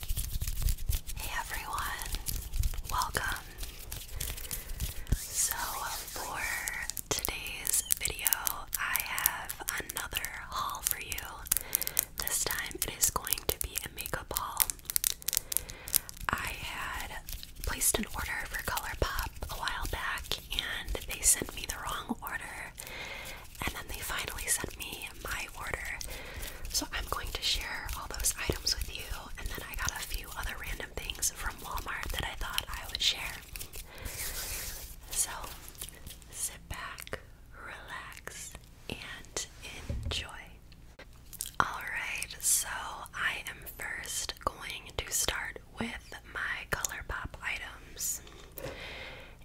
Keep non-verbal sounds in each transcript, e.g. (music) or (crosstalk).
Hey everyone, welcome. So, for today's video, I have another haul for you. This time it is going to be a makeup haul. I had placed an order for ColourPop a while back and they sent me the wrong order, and then they finally sent me my order. So I'm going to share all those items with you, and then I got a few other random things from Walmart that I thought I would share. So sit back, relax, and enjoy. Alright, so I am first going to start with my color pop items.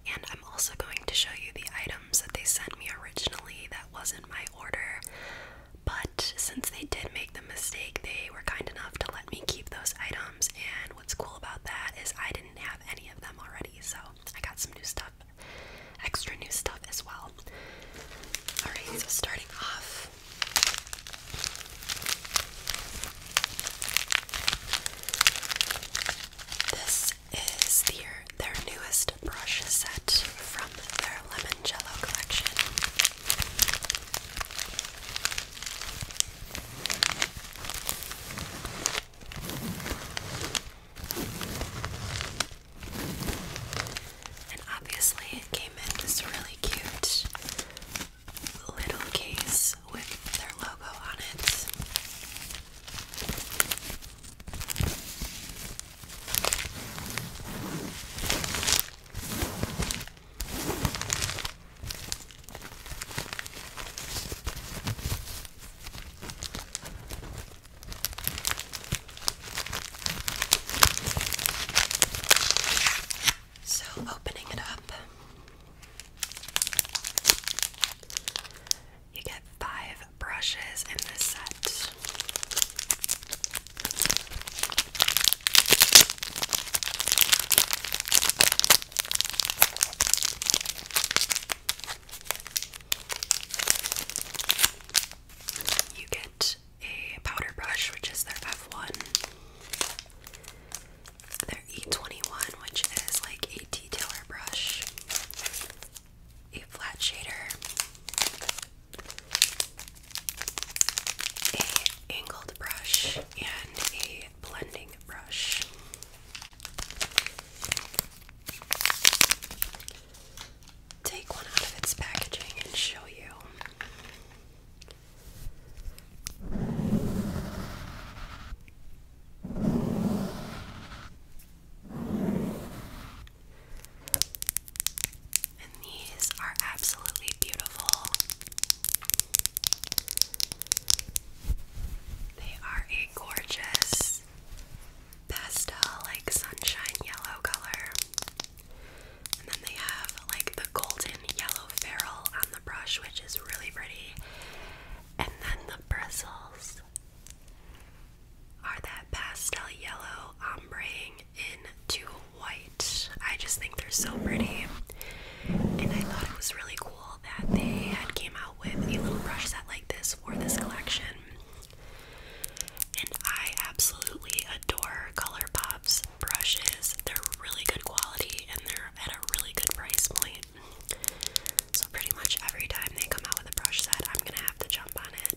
And I'm also going to show you the items that they sent me originally that wasn't my order. But since they did make the mistake, they were kind enough to let me keep those items. And what's cool about that is I didn't have any of them already, so I got some new stuff, extra new stuff as well. Alright, so starting off. This is their, their newest brush set from their Lemon Jello collection. And obviously, it came in this really cute little case with their logo on it. So, opening it up, you get five brushes in this set. You get a powder brush, which is their F1, their E21, which is like a detailer brush, a flat shader, a angled brush, and a blending brush. Take one out of its packaging and show you. And these are absolutely beautiful. They are a gorgeous pastel, like sunshine yellow color. And then they have like the golden yellow ferrule on the brush, which is really pretty. And then the bristles are that pastel yellow ombreing into white. I just think they're so pretty. And I thought it was really cool that they had came out with a little brush set like this for this collection. And I absolutely adore ColourPop's brushes. They're really good quality and they're at a really good price point. So pretty much every time they come out with a brush set, I'm gonna have to jump on it.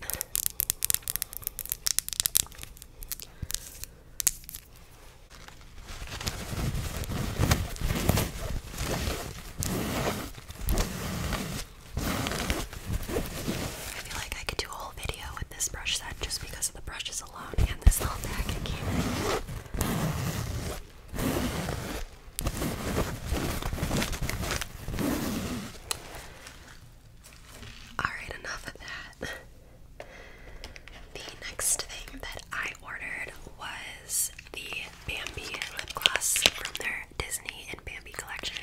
I feel like I could do a whole video with this brush set just because of the brushes alone and this little packet came Alright, enough of that. The next thing that I ordered was the Bambi lip gloss from their Disney and Bambi collection.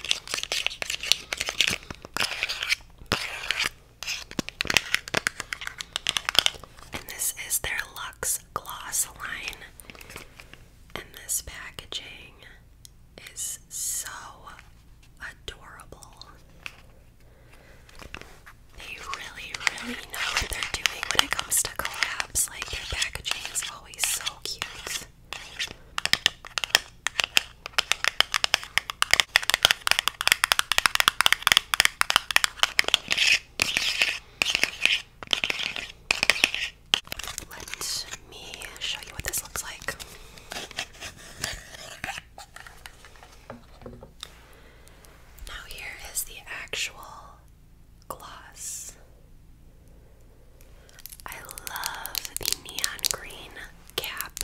And this is their Luxe gloss line. And this packaging is so adorable. They really, really know what they're doing when it comes to collabs. Like, their packaging is always so cute. Let me show you what this looks like. Now, here is the actual gloss. I love the neon green cap.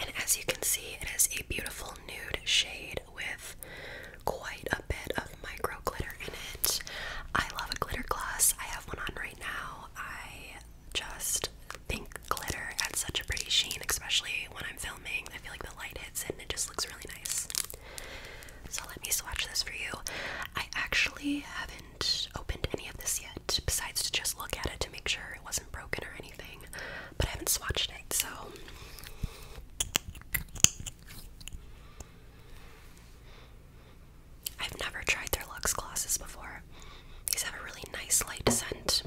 And as you can see, it is a beautiful nude shade with quite a bit of micro glitter in it. I love a glitter gloss. I have one on right now. I just think glitter adds such a pretty sheen, especially when I'm filming. I feel like the light hits it and it just looks really nice. So let me swatch this for you. I actually haven't opened any of this yet, besides to just look at it to make sure it wasn't broken or anything. But I haven't swatched it, so. I've never tried their Luxe glosses before. These have a really nice light scent.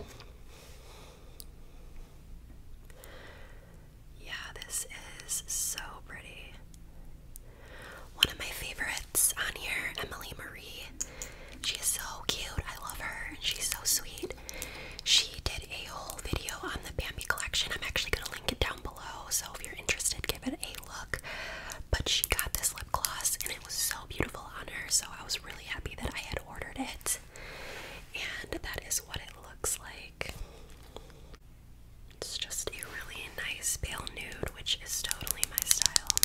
Yeah, this is so pretty. One of my favorites on here, Emily Marie. She's so cute. I love her. and She's so sweet. She did a whole video on the Bambi collection. I'm actually going to link it down below, so if you're interested, give it a look. But she got this lip gloss and it was so beautiful on her, so I was really happy that I had ordered it. And that is what it looks like. It's just a really nice pale nude, which is totally my style.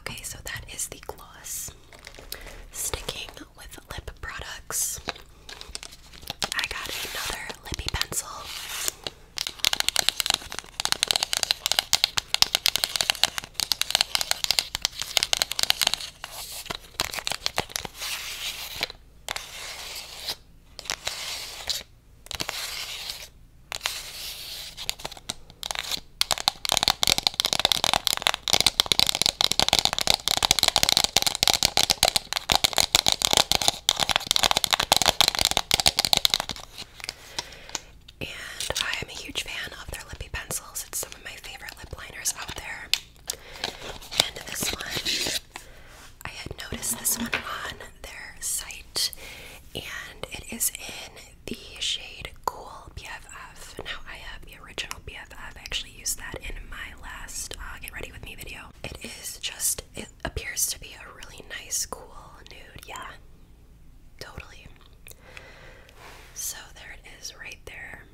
Okay, so that is the gloss. Sticking with lip products, I got another lippy pencil. And I am a huge fan of their lippy pencils. It's some of my favorite lip liners out there. And this one, I had noticed this one on their site, and it is in the shade Cool BFF. Now, I have the original BFF. I have actually used that in my last uh, Get Ready With Me video. It is just appears to be a really nice, cool nude. Yeah, totally. So there it is right there.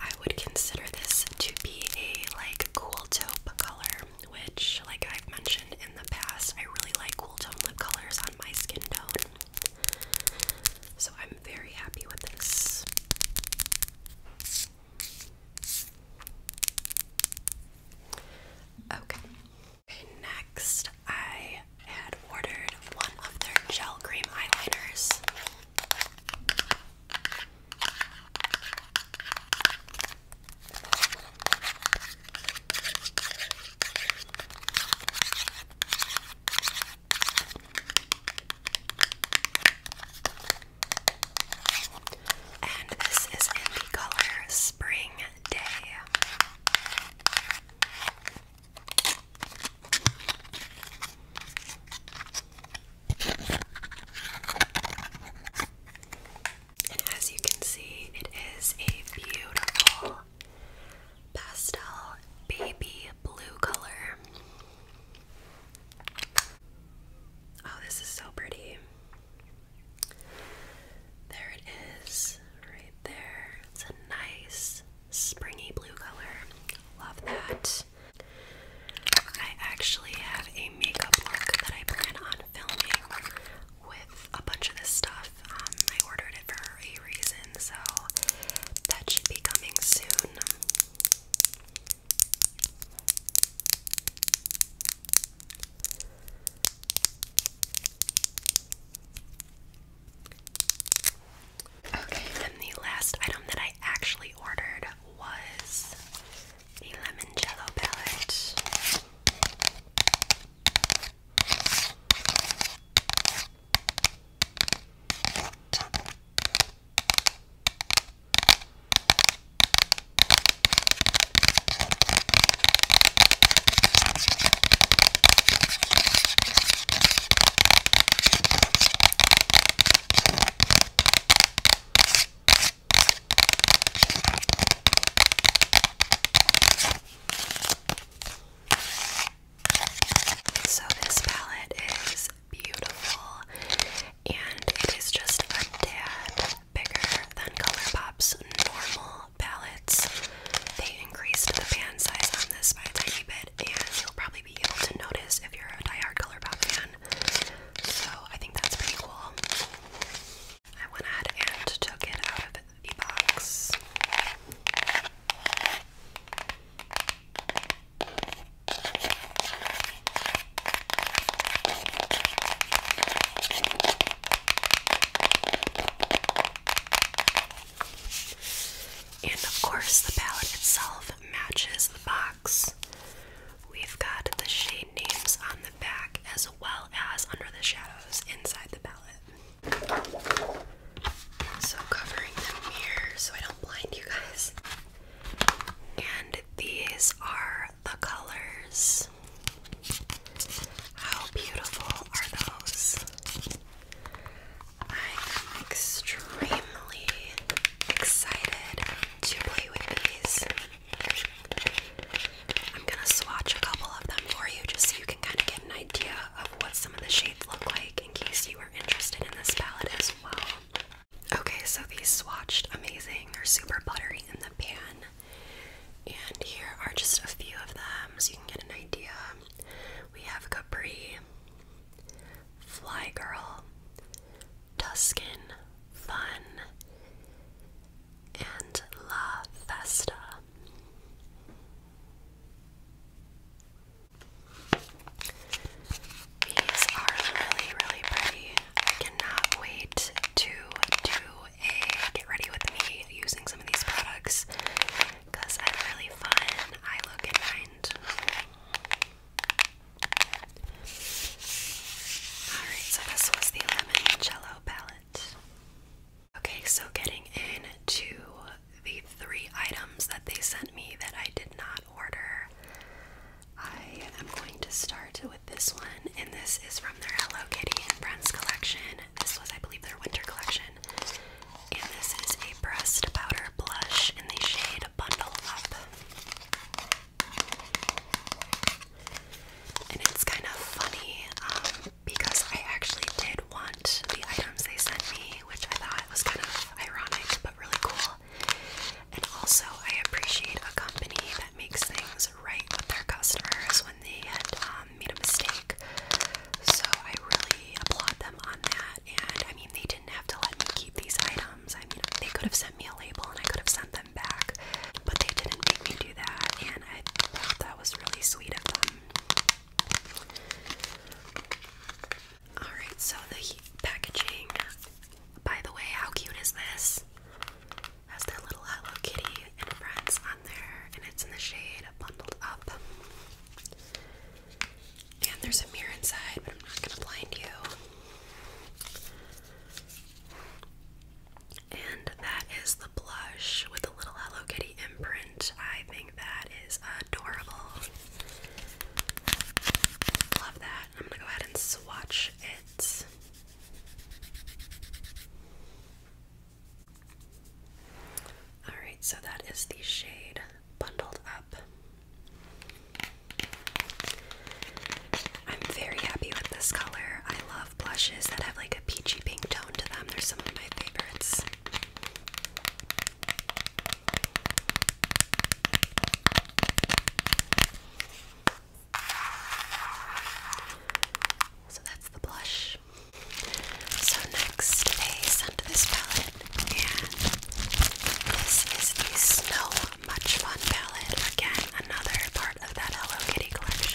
I would consider this to be a like cool taupe color, which, like I've mentioned in the past, I really like cool tone lip colors on my skin tone. So I'm very happy with this. Okay. next I had ordered one of their gel cream eyeliners. And this is in the color Spring Day. And as you can see, it is a beautiful pastel baby blue color. Oh, this is so pretty. There it is, right there. It's a nice springy blue color. Love that. I actually have a makeup look that I plan on filming with a bunch of this stuff. Um, I ordered it for a reason, so that should be coming soon. Okay, and the last item that I actually ordered was a lemon jello palette. So, this palette is beautiful, and it is just a tad bigger than Color Pop's normal palettes. They increased the pan size on this by a tiny bit, and you'll probably be able to notice if you're a diehard Color Pop fan. So I think that's pretty cool. I went ahead and took it out of the box. And of course, the palette itself matches the box. We've got the shade names on the back as well as under the shadows inside the palette. So, covering them here so I don't blind you guys. And these are the colors. How beautiful are those? I am extremely excited to play with these. I'm gonna swatch a couple of them for you just so you can kind of get an idea of what some of the shades look like in case you are interested in this palette as well. Okay, so these swatched amazing. They're super buttery in the pan. And here are just a few of them so you can get an idea. We have Capri, Fly Girl, Tuscan, Fun, and La Festa. These are really, really pretty. I cannot wait to do a get ready with me using some of these products because I'm really fun. I look in mind. Alright, so this was the Lemon Jello palette. Okay, so getting into the three items that they sent me that I did not order. I am going to start with this one, and this is from their Hello Kitty and Friends collection. This was, I believe, their winter collection. And this is a breast powder blush in the shade Bundle Up. And it's kind of funny um, because I actually did want the items they sent me, which I thought was kind of ironic, but really cool. And also, I appreciate a company that makes things right with their customers when they had um, made a mistake. So I really applaud them on that. And I mean, they didn't have to let me keep these items. I mean, they could have sent me a label and I could have sent them back, but they didn't make me do that. And I thought that was really sweet of them. Alright, so the packaging. By the way, how cute is this? Has their little Hello Kitty and friends on there, and it's in the shade Bundled Up. And there's a mirror inside, but I'm not gonna blind you. And that is the blush with the little Hello Kitty imprint. I that is adorable. Love that. I'm gonna go ahead and swatch it. Alright, so that is the shade Bundled Up. I'm very happy with this color. I love blushes that have like a peachy pink tone to them. They're some of my favorites. So that's the blush. So next they sent this palette and this is the Snow Much Fun palette. Again, another part of that Hello Kitty collection.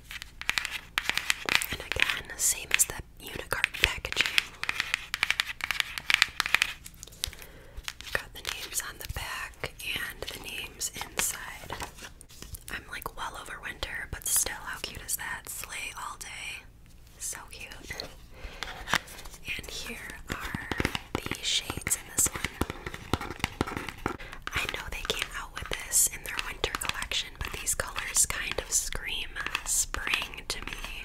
And again, same as the unicorn packaging. Got the names on the back and the names inside. I'm like well over winter, but still, how cute is that? Slay all day. So cute. And here are the shades in this one. I know they came out with this in their winter collection, but these colors kind of scream spring to me.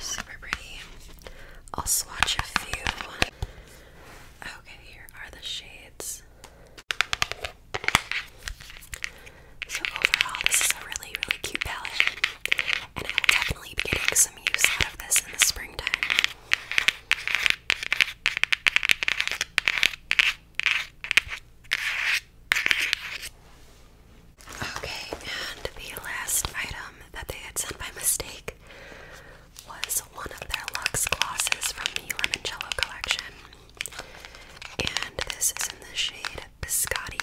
Super pretty. I'll swatch a few. Okay, here are the shades. So overall, this is a really, really cute palette, and I will definitely be getting some use out of this in the springtime. Okay, and the last item that they had sent by mistake was one of their lux glosses from the Lemoncello collection. And this is in the shade Biscotti.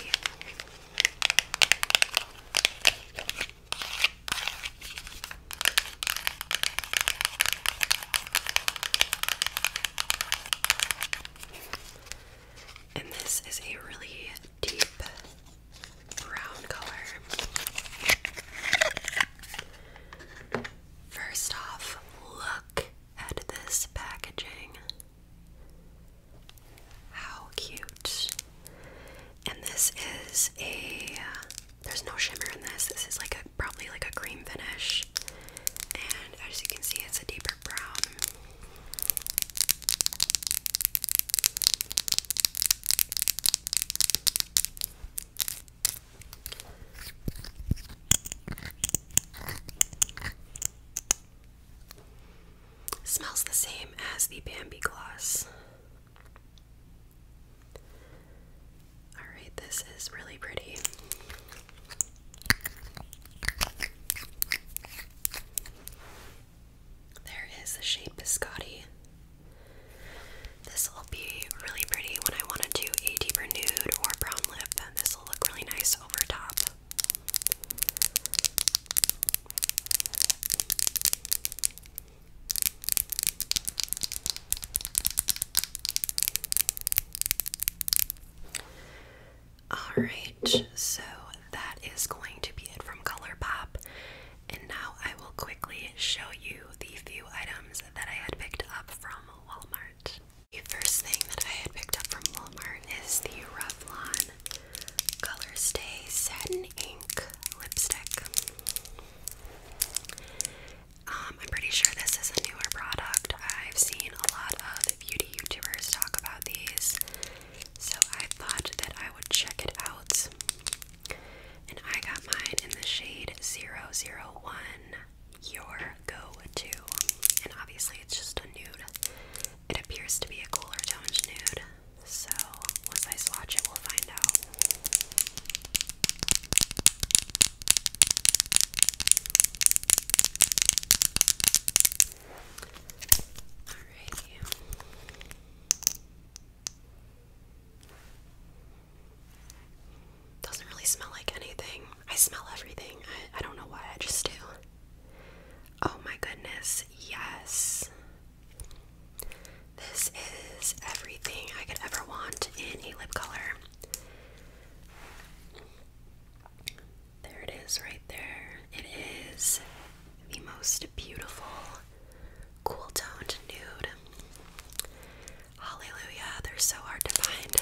And this is a really deep brown color. First off, look at this packaging. How cute. And this is a there's no shimmer in this. This is like a probably like a cream finish. And as you can see, it's a deeper brown. Smells the same as the Bambi gloss. Alright, this is really pretty. There is the shape biscotti. This will be really pretty when I want to do a deeper nude or brown lip. This will look really nice over top. Alright, so that is going to be it from Color Pop. And now I will quickly show you the few items that I had picked up from Walmart. The first thing that I had picked up from Walmart is the Revlon Color Stay Satin Ink Lipstick. Um, I'm pretty sure this is a newer product. I've seen a lot of beauty YouTubers talk about these, so I thought that I would check it out. And I got mine in the shade 001, Your Go To. And obviously, it's just a nude. It appears to be a cooler toned nude, so once I swatch it, we'll find out. Alrighty. Doesn't really smell like anything. I smell everything. I, don't know why, I just do. Oh my goodness, yes. This is everything I could ever want in a lip color. There it is right there. It is the most beautiful cool toned nude. Hallelujah, they're so hard to find.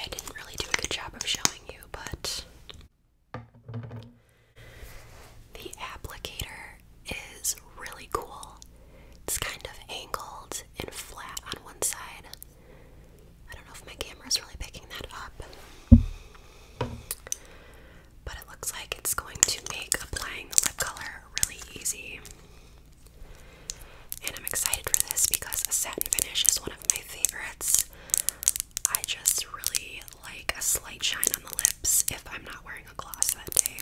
I didn't really do a good job of showing you, but the applicator is really cool. It's kind of angled and flat on one side. I don't know if my camera is really picking that up. But it looks like it's going to make applying the lip color really easy. And I'm excited for this because a satin finish is one of my favorites. I just really like a slight shine on the lips if I'm not wearing a gloss that day.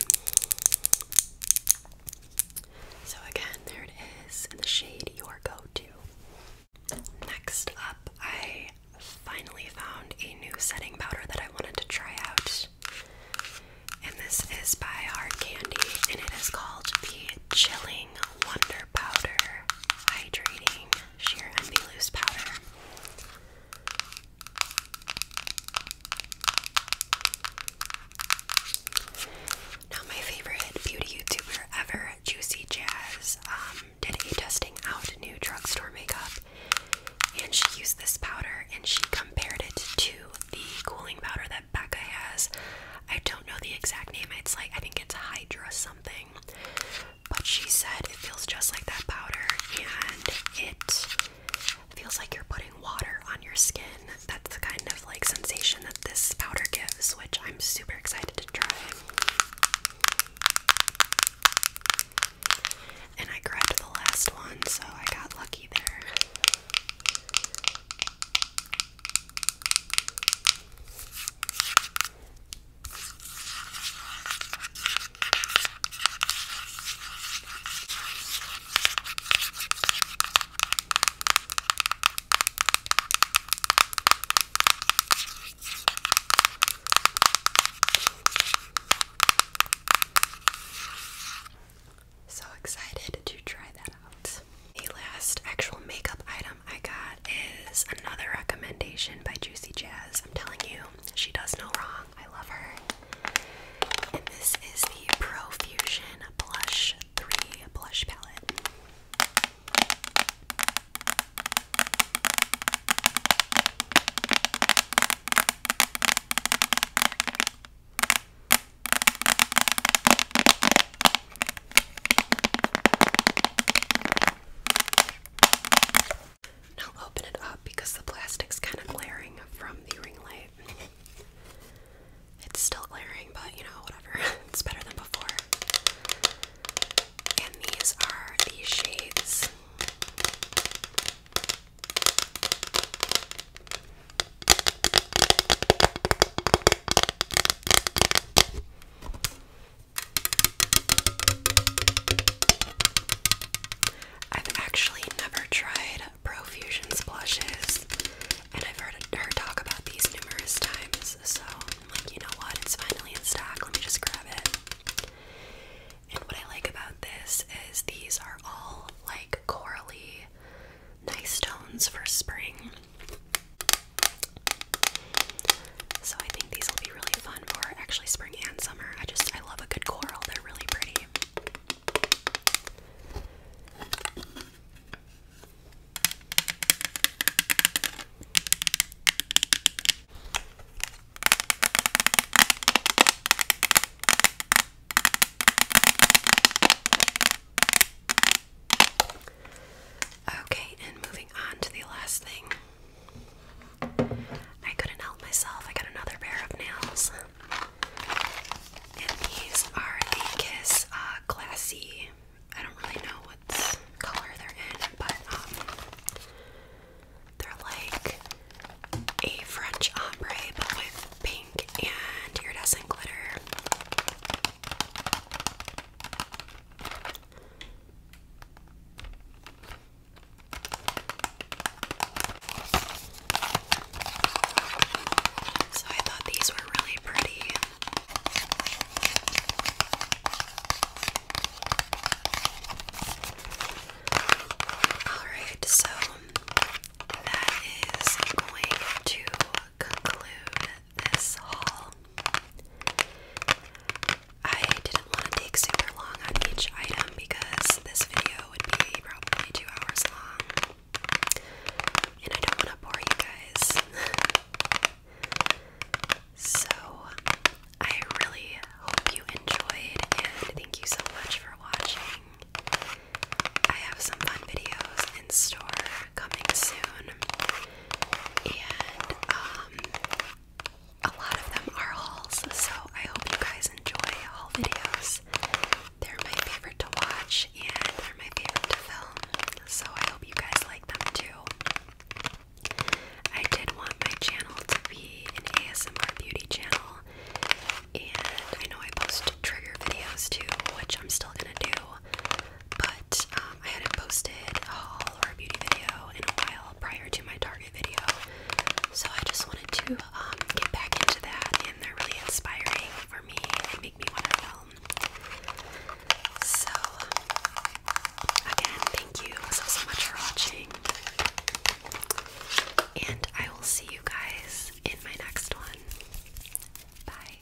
So again, there it is in the shade Your Go-To. Next up, I finally found a new setting powder that I wanted to try out. And this is by Hard Candy, and it is called the Chilling Wonder Powder Hydrating Sheer and Be Loose Powder. Now, my favorite beauty YouTuber ever, Juicy Jazz, um, did a testing out new drugstore makeup, and she used this powder and she compared it to the cooling powder that Becca has. I don't know the exact name. It's like I think it's Hydra something. But she said it feels just like that powder and it feels like you're putting water on your skin. That's the kind of like sensation that this powder gives, which I'm super excited to try. And I grabbed the last one, so I got lucky there. So excited to try that out. The last actual makeup item um, I got is another recommendation by Juicy Jazz. I'm telling you, she does no wrong. I love her. And this is the Profusion Blush 3 Blush Palette. Now open it up because the plastic's kind of glaring from the ring light. It's still glaring, but you know, whatever. (laughs) it's better than before. And these are the shades. I've actually never tried Profusion blushes, and I've heard her talk about these numerous times, so I'm like, you know what? It's finally in stock. Let me just grab it. And what I like about this is these are all like corally nice tones for spring. So I think these will be really fun for actually spring and summer. I just I love a good coral. They're really pretty. Okay, and moving on to the last thing. I couldn't help myself. I got another pair of nails. And these are the Kiss uh, I don't really know what color they're in, but um, they're like a French ombre, but with pink and iridescent glitter. So I thought these were really pretty. Alright, so that is going to conclude this haul. I didn't want to take super long on each item because this video would be probably two hours long. And I don't want to bore you guys. (laughs) so, I really hope you enjoyed and thank you so much for watching. I have some fun videos in store coming soon and um, a lot of them are hauls, so I hope you guys enjoy haul videos. They're my favorite to watch and they're my favorite to film, so I hope you guys like them too. I did want my channel to be an ASMR beauty channel, and I know I post trigger videos too, which I'm still gonna do, but um, I hadn't posted a haul or a beauty video in a while prior to my Target video, so I just wanted to um, get back into that, and they're really inspiring for me and make me want to film. So, again, thank you so, so much for watching, and I will see you guys in my next one. Bye.